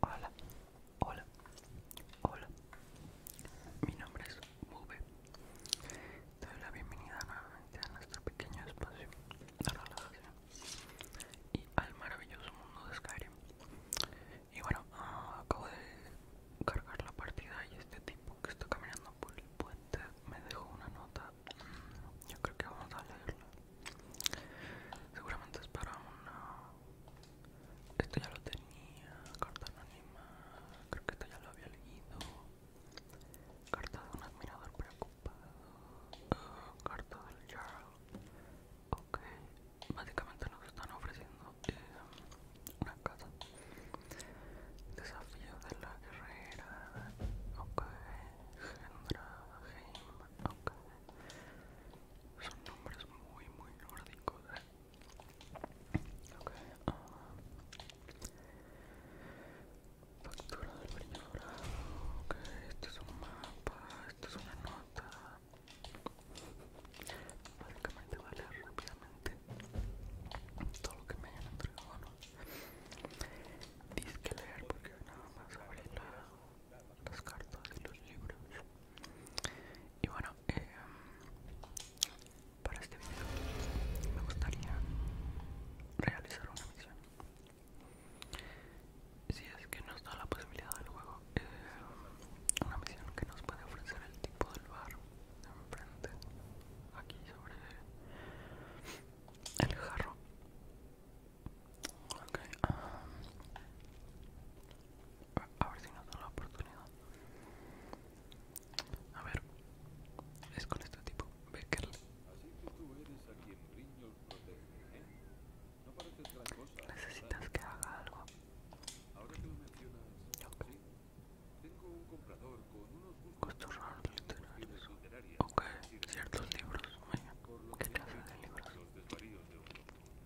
Hola, hola, hola. Mi nombre es Bube. Te doy la bienvenida nuevamente a nuestro pequeño espacio de relajación y al maravilloso mundo de Skyrim. Y bueno, ah, acabo de cargar la partida y este tipo que está caminando por el puente me dejó una nota. Mm, yo creo que vamos a leerla. Seguramente es para una... Esto ya lo tenía, carta anónima, creo que esto ya lo había leído. Carta de un admirador preocupado, carta del Jarl. Ok, básicamente nos están ofreciendo eh, una casa. Desafío de la guerrera, ok, Gendra, Heim, ok son nombres muy muy nórdicos ¿eh? okay. Ah, factura del brillo dorado okay. esto es un mapa esto es una nota básicamente leer rápidamente todo lo que me hayan entregado ¿no? leer porque nada más abrirla las cartas y los libros y bueno eh, para este video me gustaría realizar una misión si es que nos da la posibilidad del juego eh, una misión que nos puede ofrecer el tipo del bar enfrente aquí sobre el jarro Okay, um, a ver si no la oportunidad. A ver, es con este tipo, Becker. Necesitas que haga algo. okay. raros ciertos libros. ¿qué de libros? Okay. Muy bien.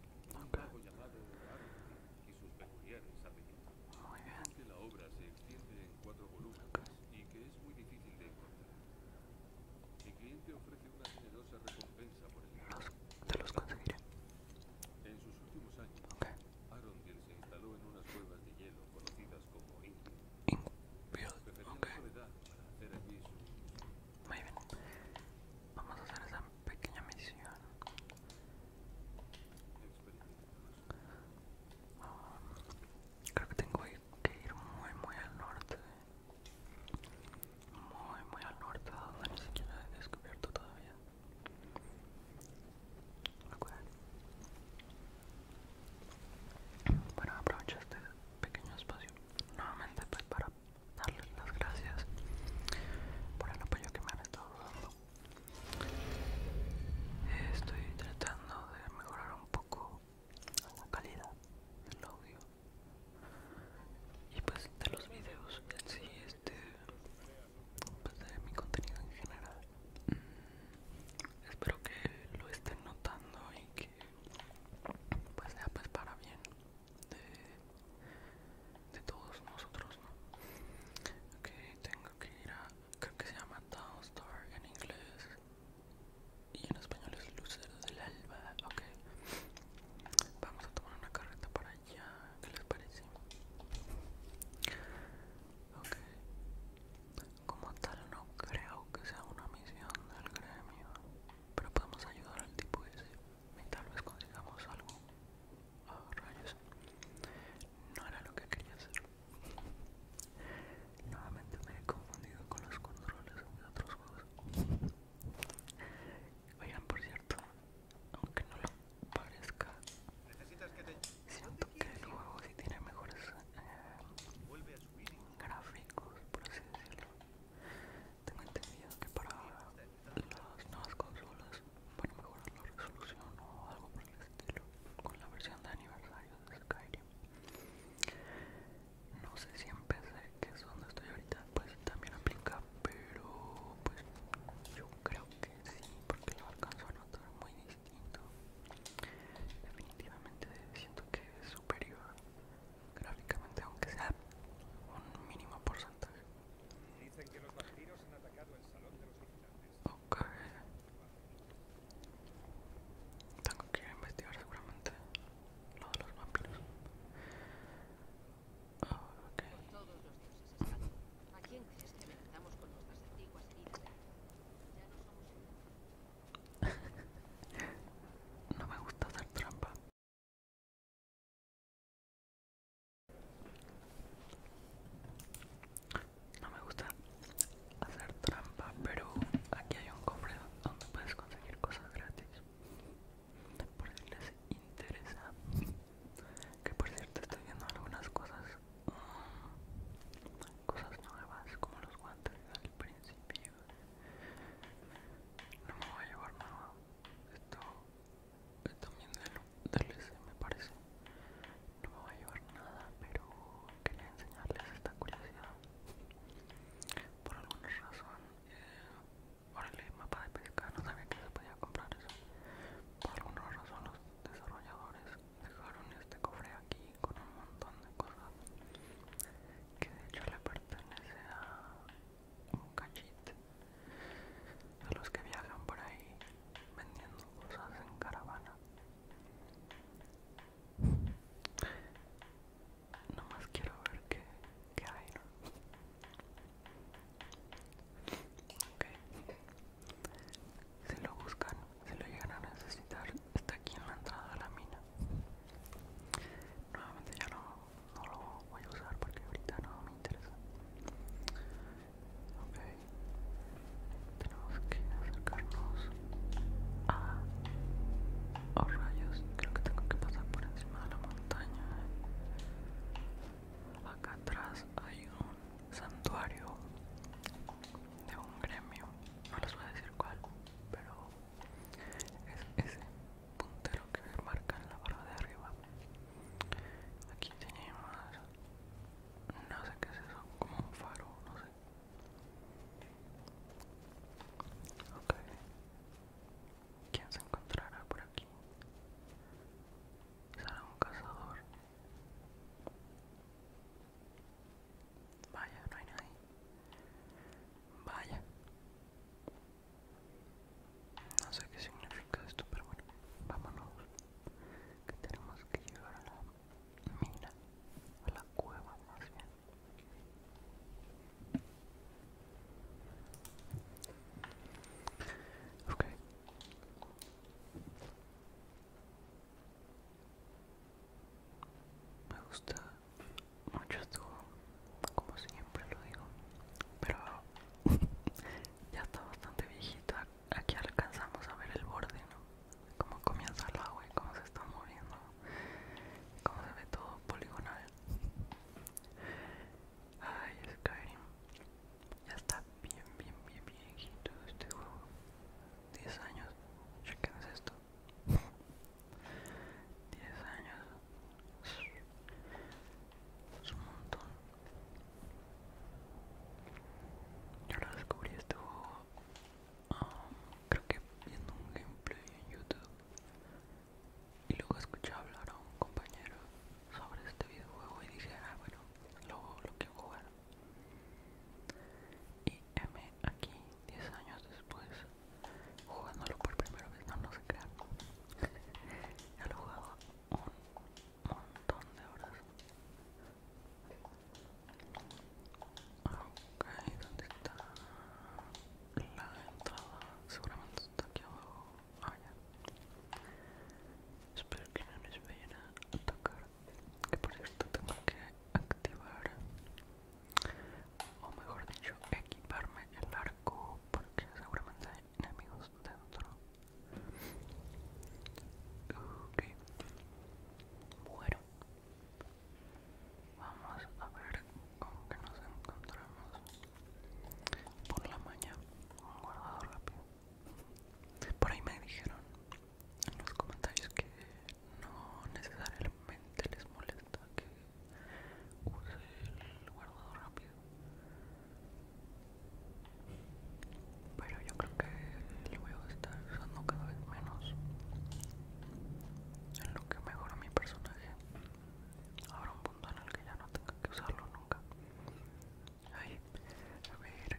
Que la obra se extiende en cuatro volúmenes y que es muy difícil de encontrar. Mi cliente ofrece una generosa recompensa por el libro. Te los conseguiré. En sus últimos años, okay. se instaló en unas cuevas de hielo conocidas como Indio. Indio. Okay. Perfeccionó su edad para hacer allí sus muy bien. Vamos a hacer esa pequeña misión. Ah, creo que tengo que ir muy, muy al norte. Muy, muy al norte, donde ni siquiera he descubierto todavía. Bueno, aprovecho este pequeño espacio nuevamente pues para darles las gracias por el apoyo que me han estado dando. Estoy tratando de mejorar un poco la calidad del audio y pues de los videos en sí, este, pues de mi contenido en general. espero que lo estén notando y que pues sea pues para bien de, de todos nosotros, ¿no? Ok, tengo que ir a, creo que se llama Dawnstar en inglés y en español es Lucero del Alba, ok. Vamos a tomar una carreta para allá, ¿qué les parece? Ok, como tal no creo que sea una misión del gremio pero podemos ayudar al tipo ese y tal vez consigamos algo a ah, rayos no era lo que quería hacer nuevamente me he confundido con los controles de otros juegos oigan por cierto aunque no lo parezca siento que el juego si tiene mejores eh, gráficos por así decirlo tengo entendido que para las nuevas consolas van a mejorar la resolución o algo por el estilo con la versión de aniversario de Skyrim. No sé si empecé, que es donde estoy ahorita, pues también aplica, pero pues yo creo que sí, porque lo alcanzo a notar muy distinto. Definitivamente siento que es superior gráficamente, aunque sea un mínimo porcentaje. Dicen que los vampiros han atacado el salón de los vigilantes. Ok. Tengo que investigar seguramente lo de los vampiros. Ok. Por todos los dioses, Estado. ¿A quién crees que enfrentamos con nuestras antiguas vidas? Ya no somos... no me gusta hacer trampa, no me gusta hacer trampa, pero aquí hay un cofre donde puedes conseguir cosas gratis. Por si les interesa. Que por cierto estoy viendo algunas cosas. Mm, cosas nuevas como los guantes al principio. No me voy a llevar nada. Esto es también del, DLC me parece. No me va a llevar nada, pero quería enseñarles esta curiosidad. Por alguna razón, eh, el mapa de pesca, no sabía que se podía comprar eso. Por alguna razón los desarrolladores dejaron este cofre aquí con un montón de cosas que de hecho le pertenece a un cachit, de los que viajan por ahí vendiendo cosas en caravana. más quiero ver qué, qué hay, Si lo buscan, si lo llegan a necesitar, está aquí en la entrada de la mina. Nuevamente ya no, lo voy a usar porque ahorita no me interesa. Tenemos que acercarnos a... los rayos, creo que tengo que pasar por encima de la montaña. Acá atrás hay un santuario de un gremio. No les voy a decir cuál, pero es ese puntero que marca en la barra de arriba aquí tenemos no sé qué es eso como un faro no sé ok quién se encontrará por aquí será un cazador Vaya, no hay nadie. Vaya. No sé qué significa esto, pero bueno, vámonos. Que tenemos que llegar a la mina, a la cueva más bien. Ok. Me gusta mucho estuvo, como siempre lo digo, pero ya está bastante viejito, Aquí alcanzamos a ver el borde, ¿no? Cómo comienza el agua y cómo se está moviendo, Como se ve todo poligonal. Ay, Skyrim, ya está bien, bien, bien viejito este juego. 10 años, chequen esto. 10 años es un montón yo lo descubrí este juego um, creo que viendo un gameplay en youtube y luego escuché hablar a un compañero sobre este videojuego y dije ah bueno lo, lo quiero jugar y M aquí 10 años después jugándolo por primera vez, no, no se crean. Ya lo he jugado un montón de horas. Ok, ¿dónde está la entrada? Seguramente está aquí abajo. Ah, Espero que no les vayan a atacar. Que por cierto tengo que activar o mejor dicho equiparme el arco porque seguramente hay enemigos dentro bueno vamos a ver con que nos encontramos por la mañana un guardado rápido por ahí me dijeron en los comentarios que no necesariamente les molesta que use el guardado rápido pero yo creo que lo voy a estar usando cada vez menos en lo que mejora mi personaje Ahora un punto en el que ya no tenga que usarlo nunca Ahí, a ver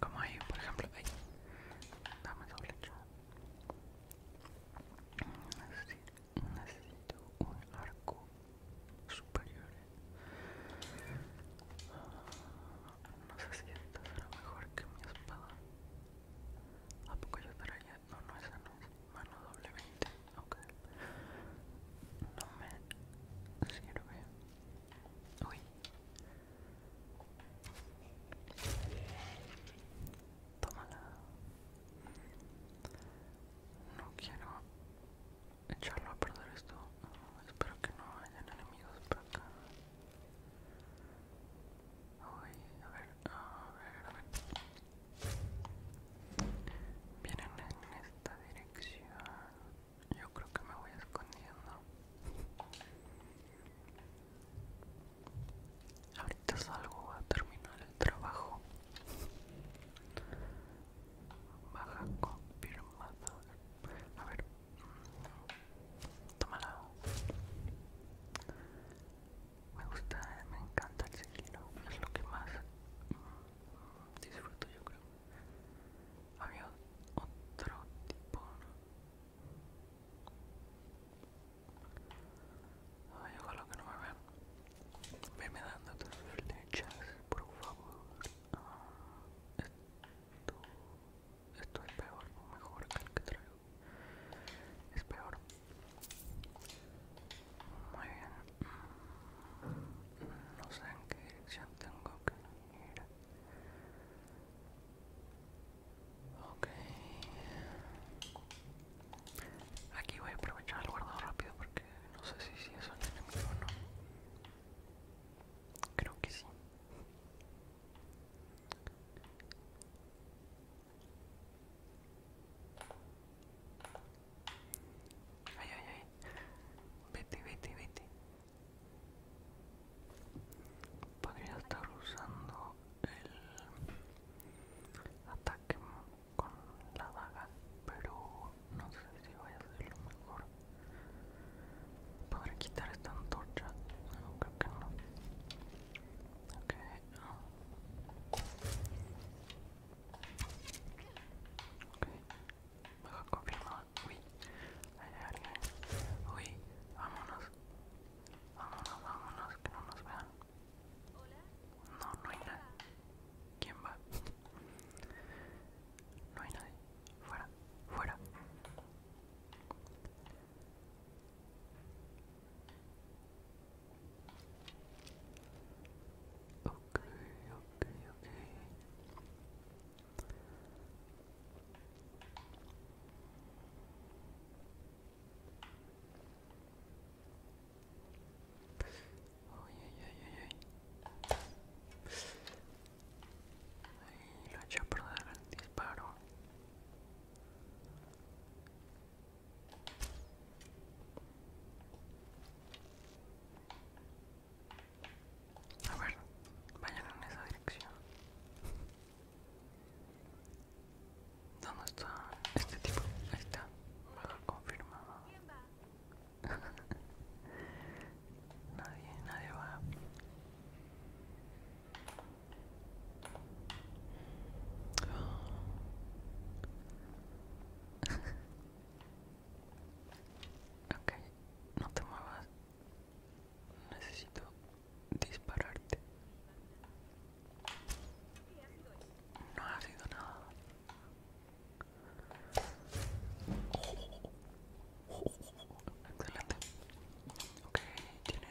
como ahí por ejemplo ahí dame esa flecha necesito un arco superior no sé si será mejor que mi espada ¿A poco yo estaría? No, no, esa no es mano doble 20 No me sirve Uy Tómala. No quiero echarlo a perder esto. espero que no vayan enemigos por acá. a ver, a ver, a ver. Vienen en esta dirección. Yo creo que me voy escondiendo. Ahorita salgo a terminar el trabajo. Baja confirmada. A ver. Tómala. Me gusta, me encanta el chiquillo Es lo que más mm, disfruto yo creo. Había otro tipo Ay, ojalá que no me vean. Venme dando tus flechas, por favor. Ah, esto, es peor, o mejor que el que traigo. Es peor. Muy bien. Mm, no sé en qué dirección tengo que ir. Ok. Aquí voy a aprovechar el guardado rápido porque no sé si, eso es un enemigo o no. Creo que sí. Ay, ay, ay. Vete, vete, vete. Podría estar usando el ataque con la daga, pero no sé si voy a hacerlo mejor. ¿Podré quitar esta antorcha? No, creo que no. Ok. Oh. Ok. Mejor confirmado. Uy, hay alguien. Uy, vámonos. Vámonos, vámonos, que no nos vean. No, no hay nadie. ¿Quién va? No hay nadie. Fuera, fuera. Ok, ok, ok. Ay ay ay ay Ahí lo he hecho por dar el disparo. A ver, vayan en esa dirección. ¿Dónde está este tipo? Ahí está. Baja confirmado. nadie, nadie va. ok, no te muevas. Necesito dispararte. No ha sido nada. Excelente. Ok, tiene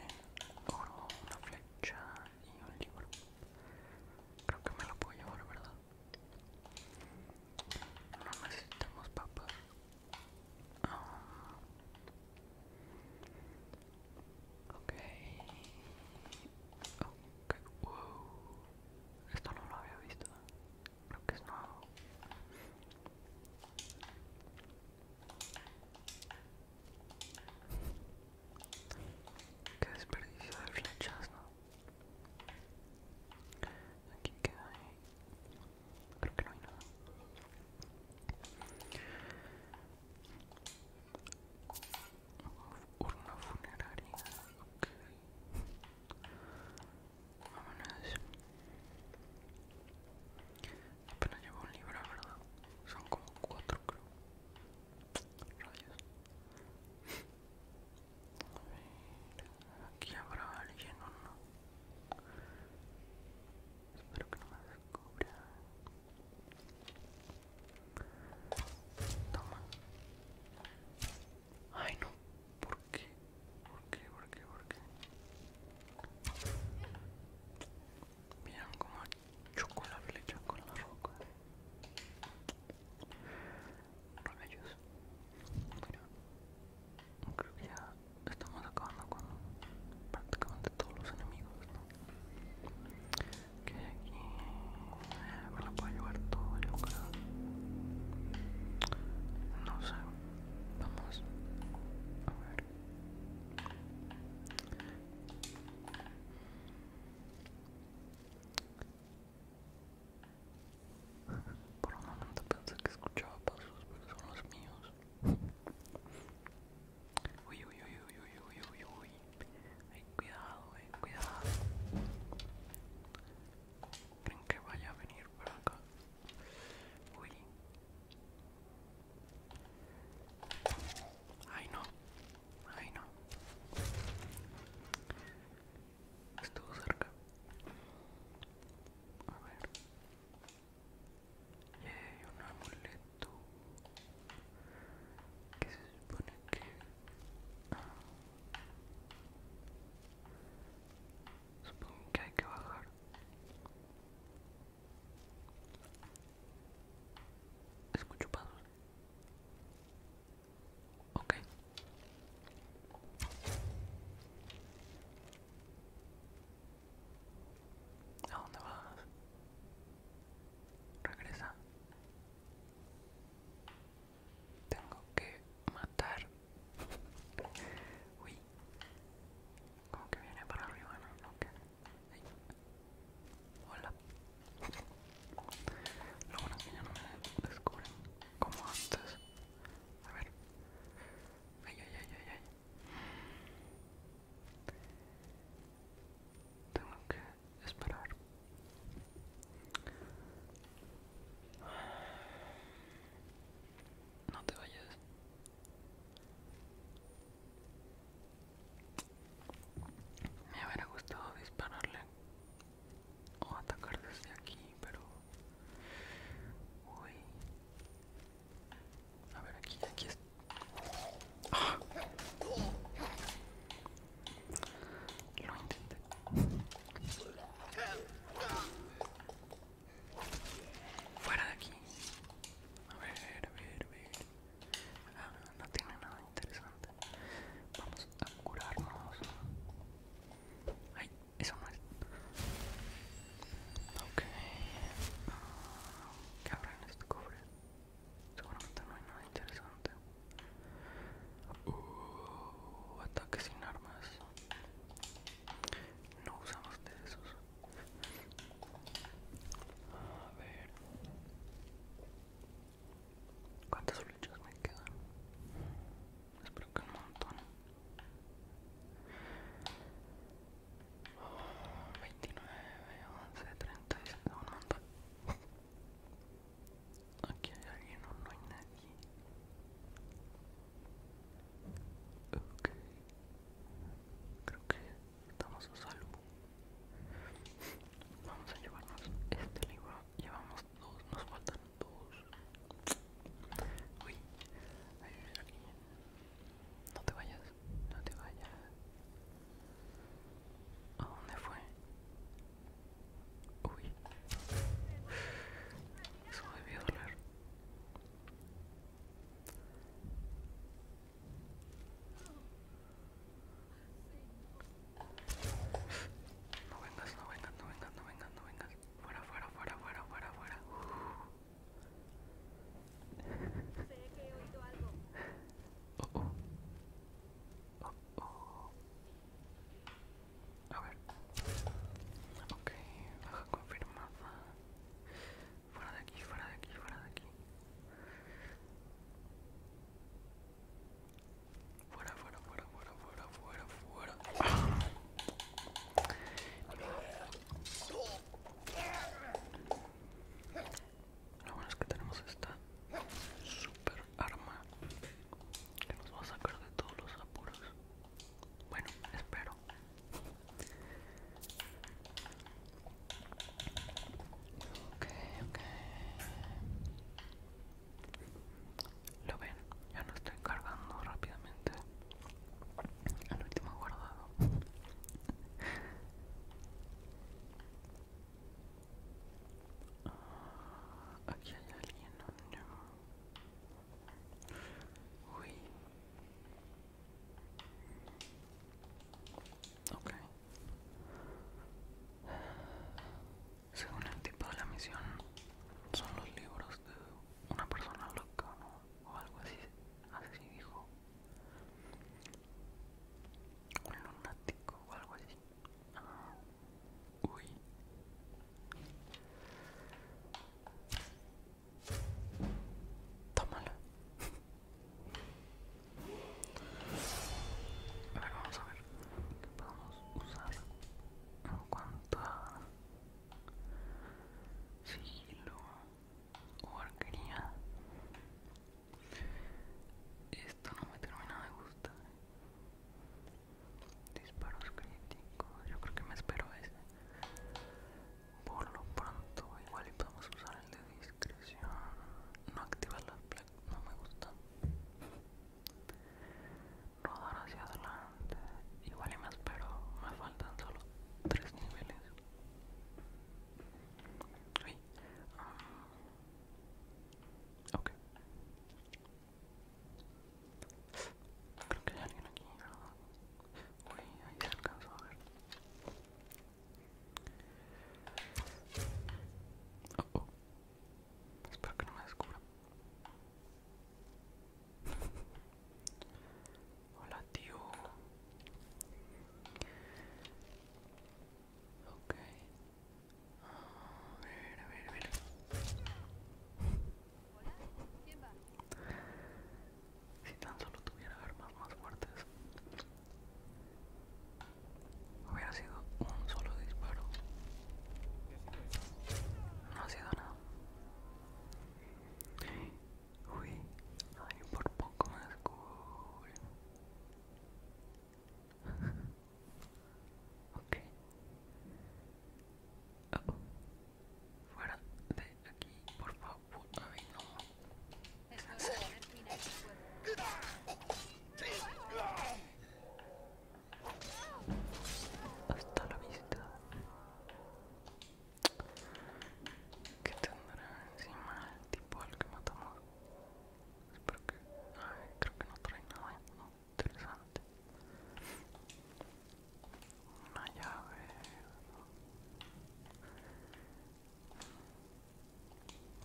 oro, una flecha y un libro. Creo que me lo puedo llevar, ¿verdad? No necesitamos papas. Ok. Esto no lo había visto. Creo que es nuevo. Qué desperdicio de flechas, ¿no? Aquí queda ahí. Creo que no hay nada. Urna funeraria. Ok. Vámonos. Apenas llevo un libro, ¿verdad? Son como cuatro, creo. Rayos. A ver, aquí habrá alguien o no. Espero que no me descubra. Toma. Ay, no. ¿Por qué? ¿Por qué? ¿Por qué? ¿Por qué? Miren como chocó la flecha con la roca. ellos Mira. Creo que ya estamos acabando con prácticamente todos los enemigos, ¿no? Que aquí eh, me lo puedo llevar todo, el lugar No sé, vamos a ver. Por un momento pensé que escuchaba pasos, pero son los míos. Uy, uy, uy, uy, uy, uy, uy, uy. Ay, cuidado, eh, cuidado. ¿Creen que vaya a venir por acá? Uy. Ay, no. Ay, no. Estuvo cerca. A ver hay un amuleto que se supone que ah, supongo que hay que bajar escucho pasos ok ¿A dónde vas? Regresa. Tengo que matar. Uy. Como que viene para arriba, ¿no? Hola. Lo bueno es que ya no me descubren como antes. A ver. Ay, ay, ay, ay, ay. Tengo que esperar. No te vayas. Me hubiera gustado dispararle o atacar desde aquí, pero... Uy, a ver, aquí, aquí es. ¡Ah! Lo intenté. Fuera de aquí. A ver, a ver, a ver. Ah, no tiene nada interesante. Vamos a curarnos. Ay, eso no es. Ok. que ¿Qué habrá en este cofre? Seguramente no hay nada interesante. Uh, ataque sin armas. No usamos de esos. A ver. ¿Cuántas flechas me quedan? Espero que un montón. 29, 11, 30, un montón. Aquí hay alguien o no hay nadie. Ok. Creo que estamos a salvo. Vamos a llevarnos este libro. Llevamos dos, nos faltan dos. Uy, hay alguien. No te vayas, no te vayas. ¿A dónde fue? Uy. Eso me doler. No vengas, no vengas, no vengas, no vengas, no vengas. Fuera, fuera, fuera, fuera, fuera, fuera. A ver. Ok, baja confirmada. Fuera de aquí, fuera de aquí, fuera de aquí. Fuera, fuera, fuera, fuera, fuera, fuera, fuera. Lo bueno es que tenemos esta super arma que nos va a sacar de todos los apuros. Bueno, espero. Lo ven, ya no estoy cargando rápidamente el último guardado ah, aquí hay alguien uy según el tipo de la misión son los libros de una persona loca o algo así así dijo un lunático o algo así. Ah, uy. Tómala. A ver, vamos a ver qué podemos usar en cuanto a sigilo arquería Esto no me termina de gustar. Disparos críticos. Yo creo que me espero ese. Por lo pronto, igual y podemos usar el de discreción. No activar las plaques, no me gusta. Rodar hacia adelante. Igual y me espero. Me faltan solo tres niveles. Ah. ok. Creo que hay alguien aquí. Uh, uy, ahí se alcanzó a ver. Oh, oh. Espero que no me descubra. Hola, tío. Ok. A ver, a ver, a ver. Hola, ¿quién va? Si tan solo tuviera armas más fuertes, hubiera sido un solo disparo. No ha sido nada. Uy, ay, por poco me cool ok. Oh, fuera de aquí, por favor. no. Hasta la vista que tendrá encima el tipo al que matamos espero que ay, creo que no trae nada ¿eh? interesante una llave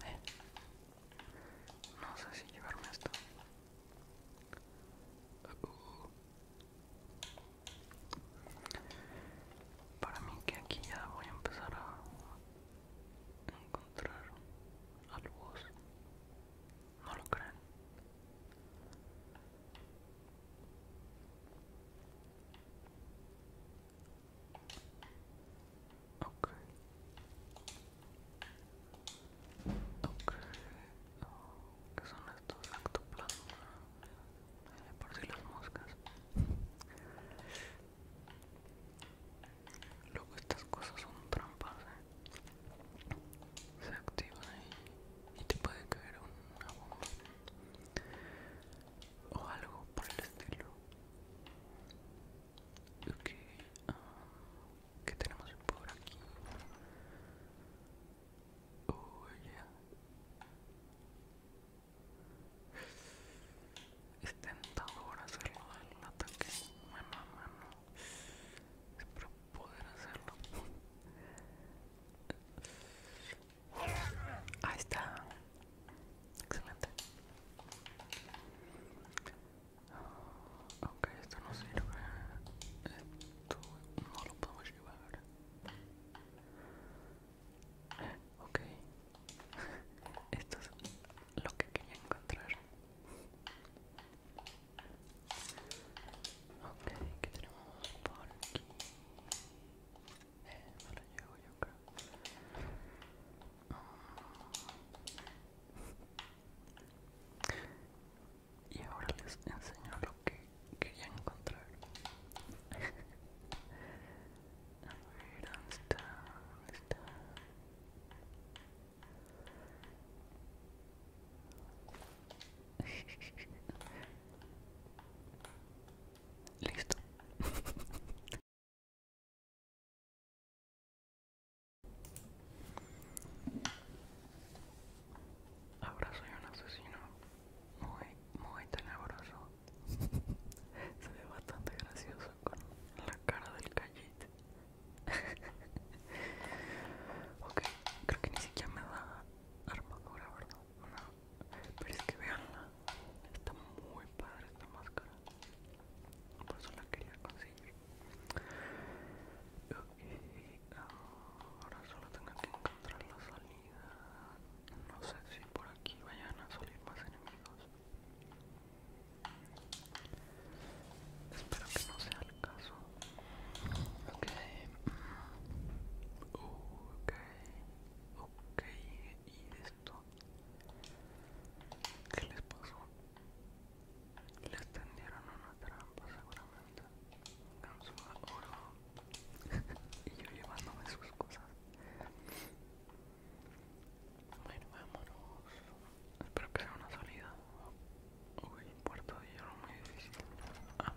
eh. no sé si llevarme esto uh, uh, uh. Para mí que aquí ya voy a empezar a encontrar algo... ¿No lo creen? Ok. ¿Qué son estos? por si las moscas. Luego estas cosas son trampas, ¿eh? se activan y, te puede caer un bomba o algo por el estilo. yo um, ¿qué tenemos por aquí? Oh, es tentador hacerlo del ataque mano a mano. Espero poder hacerlo. Ahí está. Excelente. Ok, esto no sirve. Esto no lo podemos llevar. Ok, esto es lo que quería encontrar. Ok, ¿qué tenemos por aquí. Eh, lo llevo yo creo. Ah. Y ahora les enseño lo que quería encontrar. Listo. Ahora soy un asesino muy, muy tenebroso. Se ve bastante gracioso con la cara del cayete ok, creo que ni siquiera me da armadura, ¿verdad? Pero es que veanla, está muy padre esta máscara. Por eso la quería conseguir. Ok, ahora solo tengo que encontrar la salida. No sé si por aquí vayan a salir más enemigos. Espero que no sea el caso. Ok. Mm, ok. ¿Y esto? ¿Qué les pasó? Les tendieron una trampa seguramente. oro. y yo llevándome sus cosas. Bueno, vámonos. Espero que sea una salida. Uy, puerto de hierro muy difícil. ah,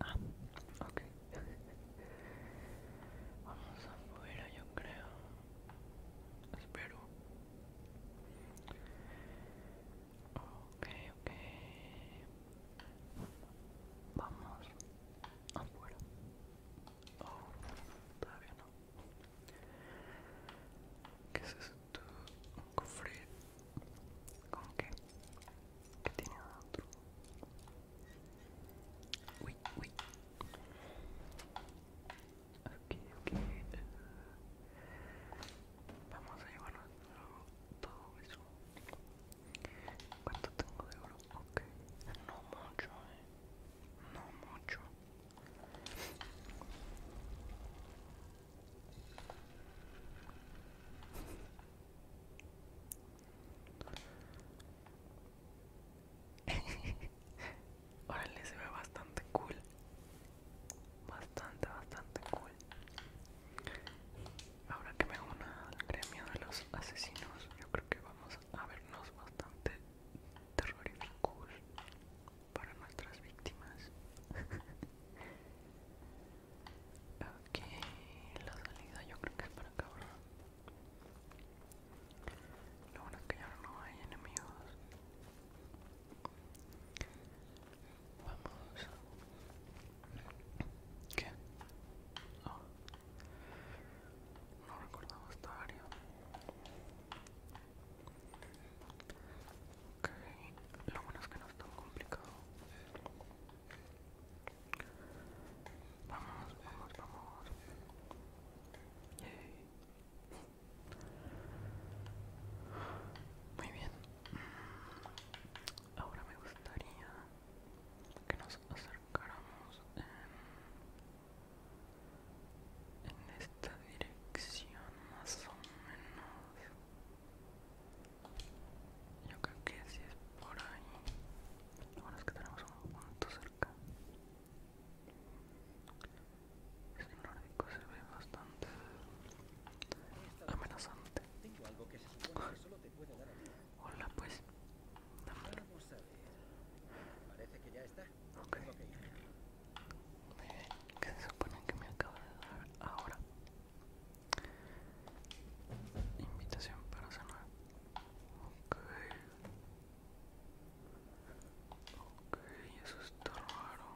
ah. ah ok. Vamos afuera, yo creo. Espero. Ok, ok. Vamos afuera. Ah, oh, todavía no. ¿Qué es esto? ¿Un cofre? ¿Con qué? ¿Qué tiene otro. Uy, uy. Ok, ok. Eh. Vamos a llevarlo todo eso. ¿Cuánto tengo de oro? ok, no mucho, eh. no mucho. le se ve bastante cool. Bastante, bastante cool. Ahora que me una al gremio de los asesinos, yo creo que vamos a vernos bastante terroríficos para nuestras víctimas. ok, la salida yo creo que es para acá, ¿verdad? Lo bueno es que ya no hay enemigos. Vamos. ¿Qué? Oh, no recordaba esta área. Ok, lo bueno es que no es tan complicado. Vamos, vamos, vamos. Yay. Muy bien. Ahora me gustaría que nos acercáramos en, esta dirección más o menos yo creo que si es por ahí lo bueno es que tenemos un punto cerca este nórdico se ve bastante amenazante Hola, pues. Vamos a Parece que ya está. Ok. okay. se supone que me acaba de dar ahora? Invitación para cenar. Ok, eso está raro.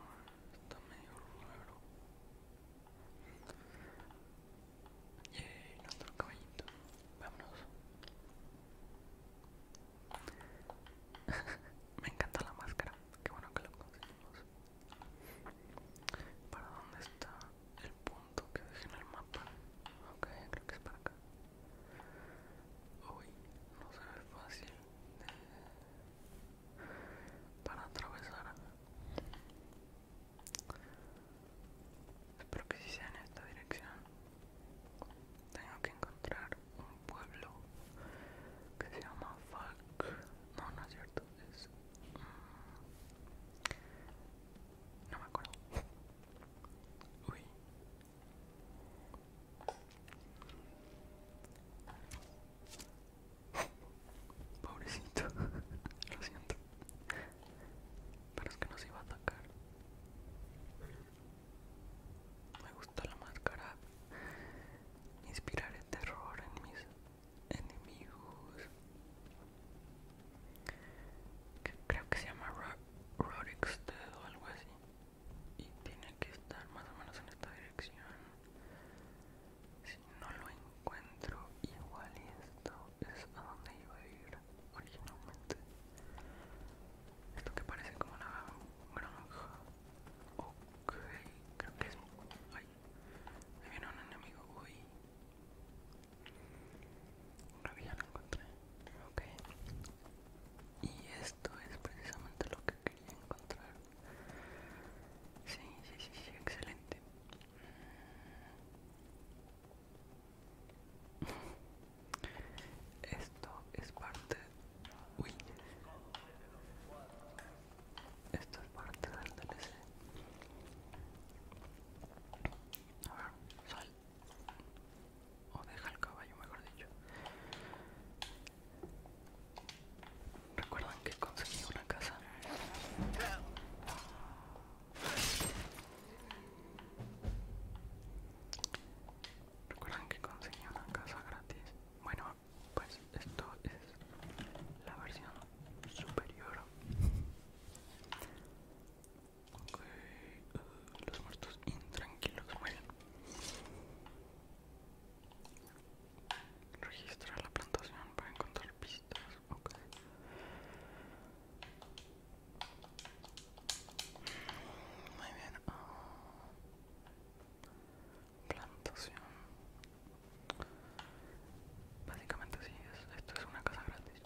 Está medio raro. ¡Y eh, nuestro caballito. Vámonos. Me encanta la máscara. Qué bueno que lo conseguimos. ¿Para dónde está el punto que dejé en el mapa? Ok, creo que es para acá. Uy, no se ve fácil para atravesar. Espero que si sea en esta dirección. Tengo que encontrar un pueblo que se llama Fuck No, no es cierto. Mm, no me acuerdo. Uy. Pobrecito, lo siento. Pero es que nos iba a atacar. Me gusta la máscara. Inspirar el terror en mis enemigos. creo que se llama Rorixted o algo así. Y tiene que estar más o menos en esta dirección. Si no lo encuentro, igual esto es a donde iba a ir originalmente. Esto que parece como la granja. Ok, creo que es. Ay, ahí viene un enemigo. Uy, una ya lo encontré. Ok, y esto es precisamente lo que quería encontrar. si, si, si, si excelente. Esto es parte. Uy. Esto es parte del DLC. A ver, sal. O deja el caballo, mejor dicho. Recuerdan que conseguí una casa. Recuerden que conseguí una casa gratis. Bueno, pues esto es la versión superior. Eh, los muertos intranquilos mueren. Registra la plantación para encontrar pistas. Okay. Muy bien. Plantación. Básicamente sí, es, esto es una casa gratis.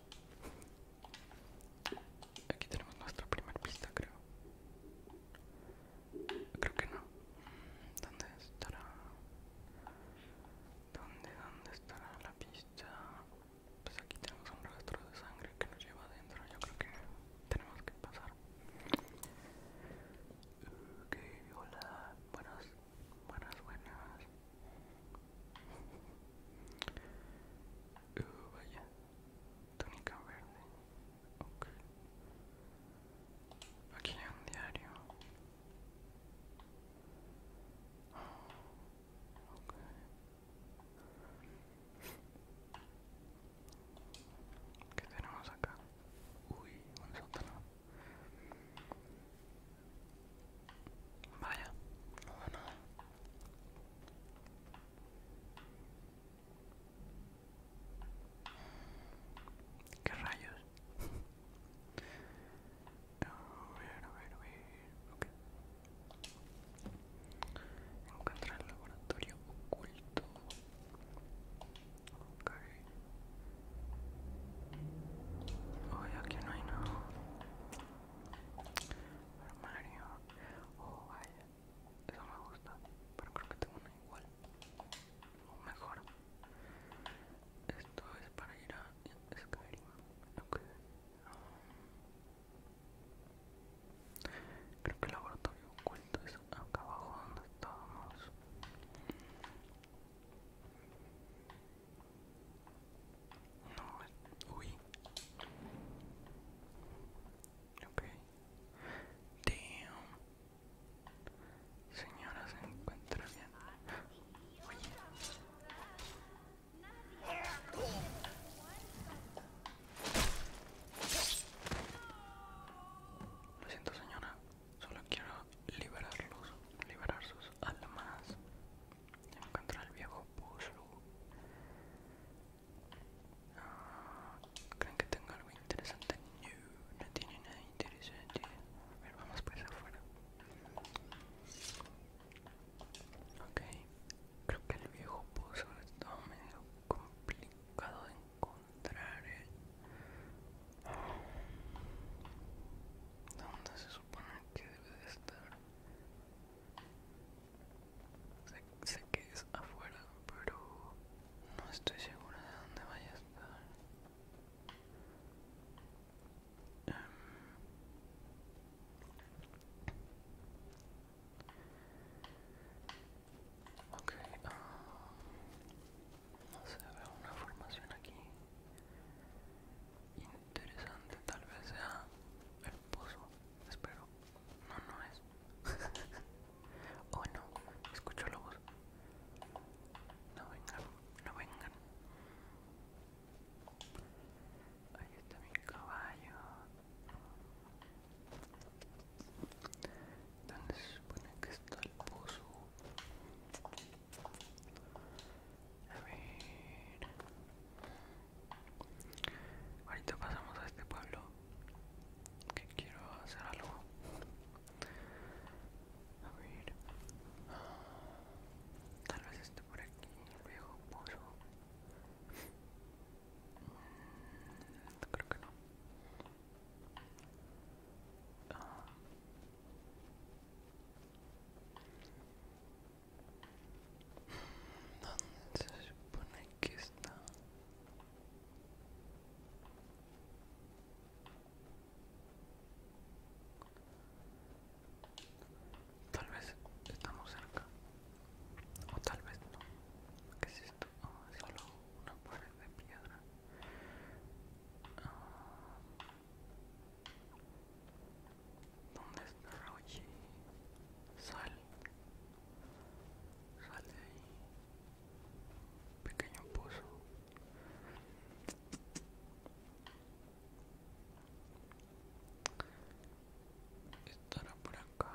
Aquí tenemos nuestra primera pista, creo. Creo que no. ¿Dónde estará? ¿Dónde, dónde estará la pista? pues aquí tenemos un rastro de sangre que nos lleva adentro yo creo que tenemos que pasar ok hola buenas buenas buenas uh, vaya túnica verde aquí hay un diario Okay. ¿Qué tenemos acá? Uy, un sótano. Vaya, no nada. ¿Qué rayos? A ver, a ver, a ver. Ok. Encuentra el laboratorio oculto. Ok. oye aquí no hay nada. Armario. Oh, vaya. Eso me gusta. Pero creo que tengo una igual. O mejor. Esto es para ir a Skyrim. Okay. Creo que el laboratorio oculto es acá abajo donde estábamos. No, uy. Ok. Damn. Señora se encuentra bien. Lo siento señora, solo quiero liberarlos, liberar sus almas. Encontrar el viejo puzzle. Ah, ¿Creen que tengo algo interesante? No, no tiene nada interesante. A ver, vamos pues afuera. Ok, creo que el viejo pozo está medio complicado de encontrar. ¿eh? ¿Dónde se supone que debe de estar? sé que es afuera, pero no estoy segura de dónde vaya a estar ok, no sé, veo una formación aquí interesante, tal vez sea el pozo, espero. No, no es. oh no, escucho voz. No vengan, no vengan. Ahí está mi caballo. ¿Dónde se supone que está el pozo? A ver. Ahorita pasamos a este pueblo que quiero hacer algo. A ver. Tal vez por aquí, luego puso... Mm, creo que no. Ah. ¿Dónde se supone que está? Tal vez estamos cerca. O tal vez no. ¿Qué es esto? Ah, solo una pared de piedra. Ah. ¿Dónde está Rauchi? Sal. Sal de ahí. Pequeño pozo estará por acá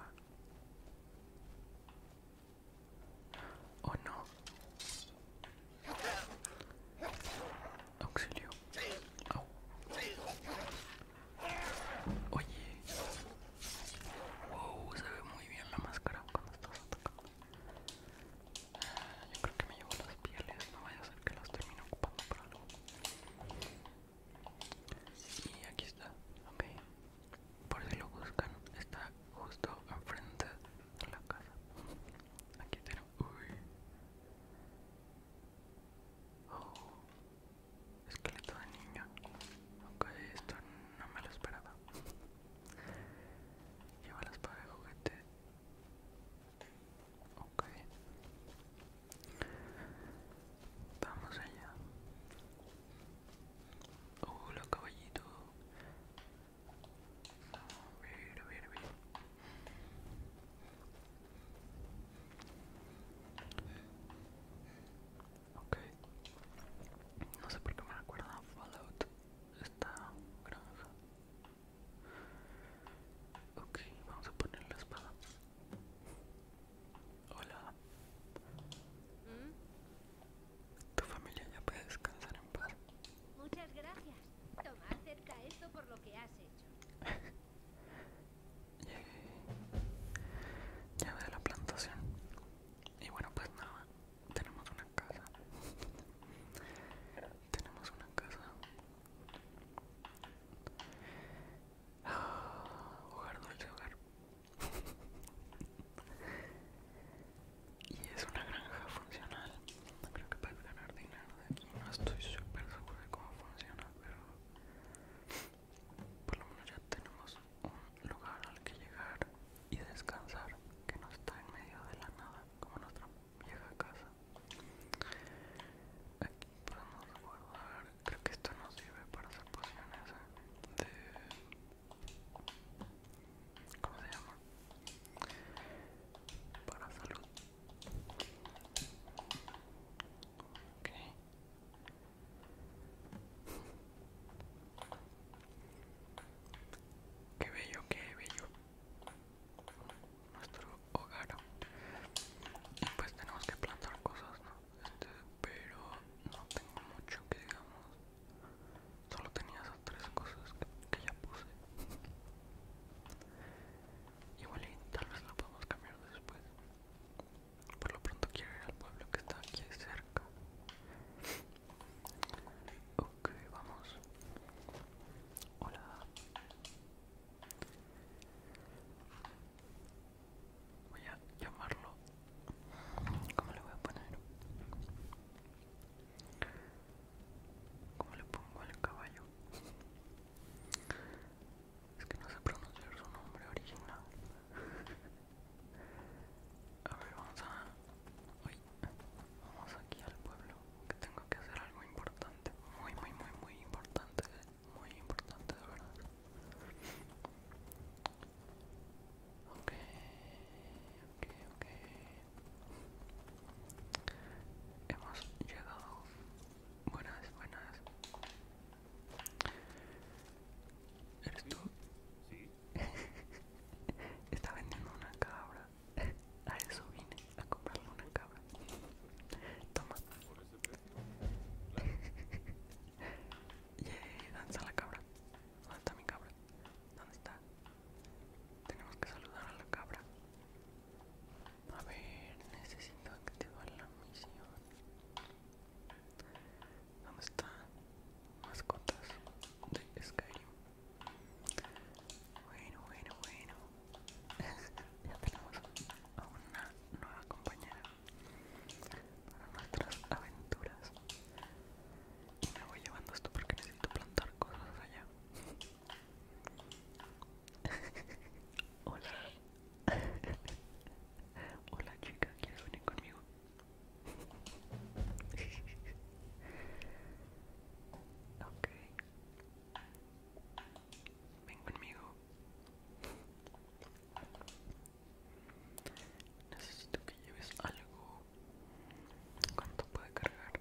o no auxilio oye wow se ve muy bien la máscara cuando estás atacando ah, yo creo que me llevo las pieles no vaya a ser que las termine ocupando para algo y aquí está, ok. Por si lo buscan, está justo enfrente de la casa. Aquí tenemos. Oh, esqueleto de niño. Ok, esto no me lo esperaba. Lleva la espada de juguete. Ok. Vamos allá. Hola caballito. A ver, No sé por qué me recuerda a Fallout esta granja. Ok, vamos a poner la espada. Hola. Tu familia ya puede descansar en paz. Muchas gracias. Toma, acerca esto por lo que has hecho. Llegué. Llegué de la plantación. Y bueno, pues nada, tenemos una casa. tenemos una casa Hogar dulce hogar. y es una granja funcional. Creo que para ganar dinero de aquí. No estoy súper seguro de cómo funciona, pero por lo menos ya tenemos un lugar al que llegar y descansar que no está en medio de la nada como nuestra vieja casa Aquí podemos guardar. Creo que esto nos sirve para hacer pociones ¿eh? de. ¿Cómo se llama? Para salud. Qué bello, qué bello nuestro hogar pues tenemos que plantar cosas ¿no? Este, pero no tengo mucho que digamos solo tenía esas tres cosas que, ya puse igual y tal vez lo podemos cambiar después por lo pronto quiero ir al pueblo que está aquí cerca ok vamos hola Voy a llamarlo. ¿Cómo le voy a poner? ¿Cómo le pongo al caballo? Es que no sé pronunciar su nombre original. A ver, vamos a... vamos aquí al pueblo, que tengo que hacer algo importante, muy, muy, muy, muy importante, muy importante de verdad ok ok ok hemos llegado buenas buenas eres tú ¿Sí? está vendiendo una cabra a eso vine a comprarle una cabra toma yeah, ¿dónde está la cabra? ¿Dónde está mi cabra? ¿Dónde está? Tenemos que saludar a la cabra. A ver, necesito que te activar la misión. ¿Dónde está? Mascotas de Skyrim. Bueno, bueno, bueno ya tenemos a una nueva compañera para nuestras aventuras. me voy llevando esto porque necesito plantar cosas allá. Hola. Hola chica, ¿quieres venir conmigo? ok. Ven conmigo. Necesito que lleves algo. ¿Cuánto puede cargar?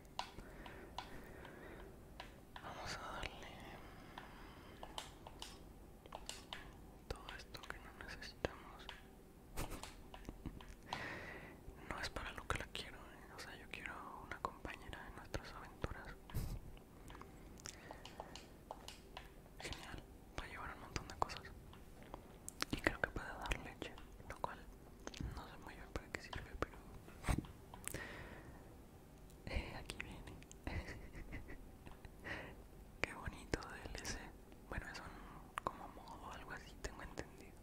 Vamos a darle todo esto que no necesitamos. No es para lo que la quiero, ¿eh? o sea, yo quiero una compañera de nuestras aventuras. Genial, va a llevar un montón de cosas. Y creo que puede dar leche, lo cual no sé muy bien para qué sirve, pero... Eh, aquí viene. Qué bonito DLC. Bueno, es un como modo, algo así, tengo entendido.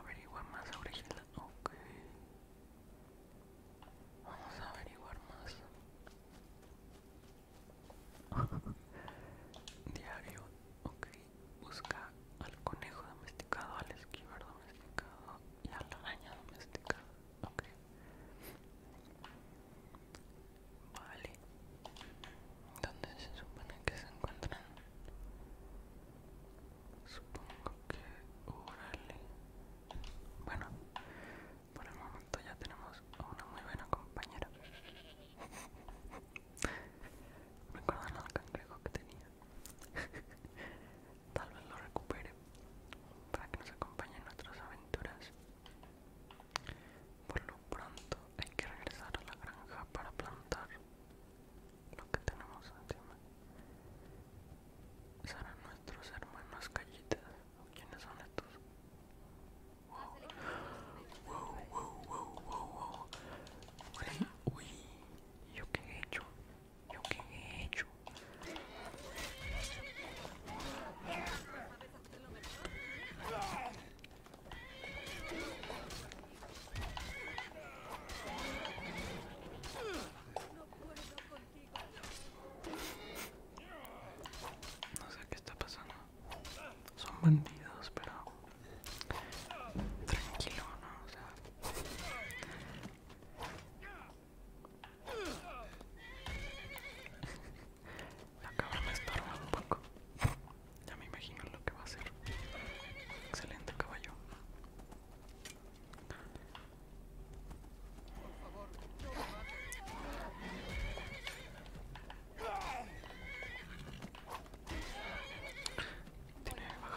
averiguar más original. Vamos a averiguar más. Diario, ok. Busca al conejo domesticado, al esquiver domesticado y a la araña domesticada. Ok. Vale. ¿Dónde se supone que se encuentran? Supongo que Bueno, por el momento ya tenemos a una muy buena compañera. Recuerdan al cangrejo que tenía. Tal vez lo recupere para que nos acompañe en nuestras aventuras. Por lo pronto hay que regresar a la granja para plantar lo que tenemos encima serán nuestros hermanos callitas quiénes son estos wow wow wow wow wow yo qué he hecho yo qué he hecho no sé qué está pasando. Son bandidos, pero tranquilo, ¿no? O sea... La cabra me estorba un poco. Ya me imagino lo que va a hacer. Excelente caballo. Por favor, Tiene baja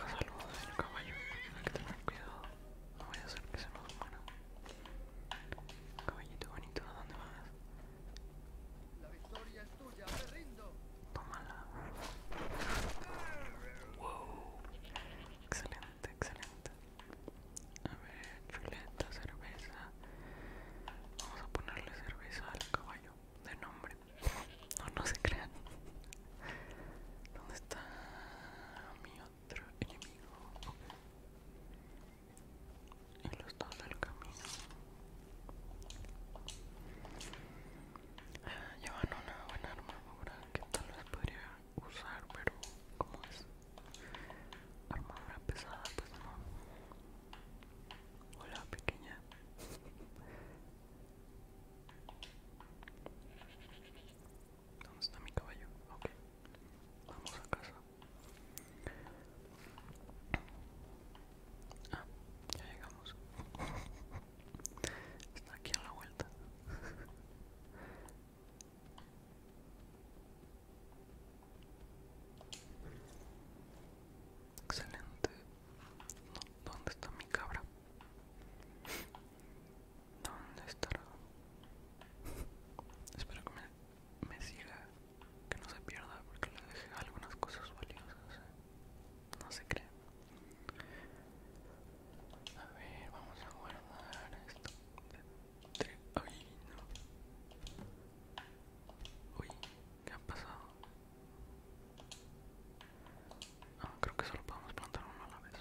salud el caballo, hay que tener cuidado, no voy a hacer que se nos muera. Caballito bonito, ¿a dónde vas? La victoria es tuya, me rindo. Tómala. Wow. Excelente, excelente. A ver, chuleta, cerveza. Vamos a ponerle cerveza al caballo de nombre. No, no se crean. ¿Dónde está mi otro enemigo? Y los dos del camino. Ah, llevan una buena armadura que tal vez podría usar, pero como es armadura pesada, pues no. Hola, pequeña. ¿Dónde está mi caballo? Ok, vamos a casa. Ah, ya llegamos. Está aquí a la vuelta. Excelente. ¿Dónde está mi cabra? ¿Dónde está? Espero que me, siga, que no se pierda porque le dejé algunas cosas valiosas. ¿eh? No se cree. A ver, vamos a guardar esto. Ay, no. Uy, ¿qué ha pasado? Ah, creo que solo podemos plantar uno a la vez.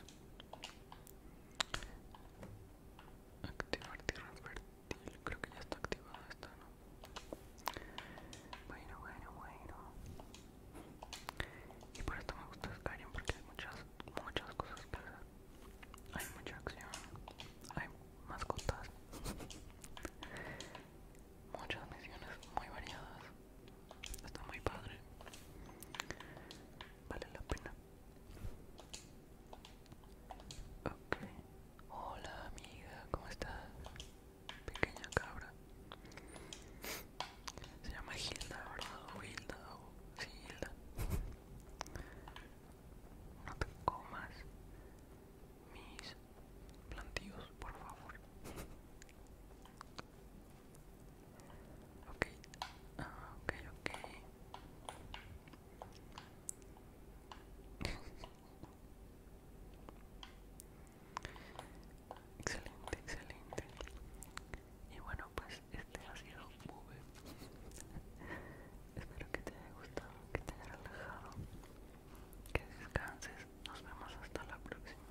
Activar tierra fértil. Creo que ya está activada esta, ¿no? Bueno, bueno, bueno. Y por esto me gusta Skyrim porque hay muchas muchas cosas que Hay mucha acción, hay mascotas, muchas misiones muy variadas. Está muy padre. Vale la pena. Ok. Hola amiga, ¿cómo estás? Pequeña cabra. Se llama Hilda, ¿verdad? Hilda, Hilda. No te comas mis plantillos, por favor. Ok, ah, ok, ok. excelente, excelente. Y bueno, pues este ha sido un espero que te haya gustado que te haya relajado que descanses nos vemos hasta la próxima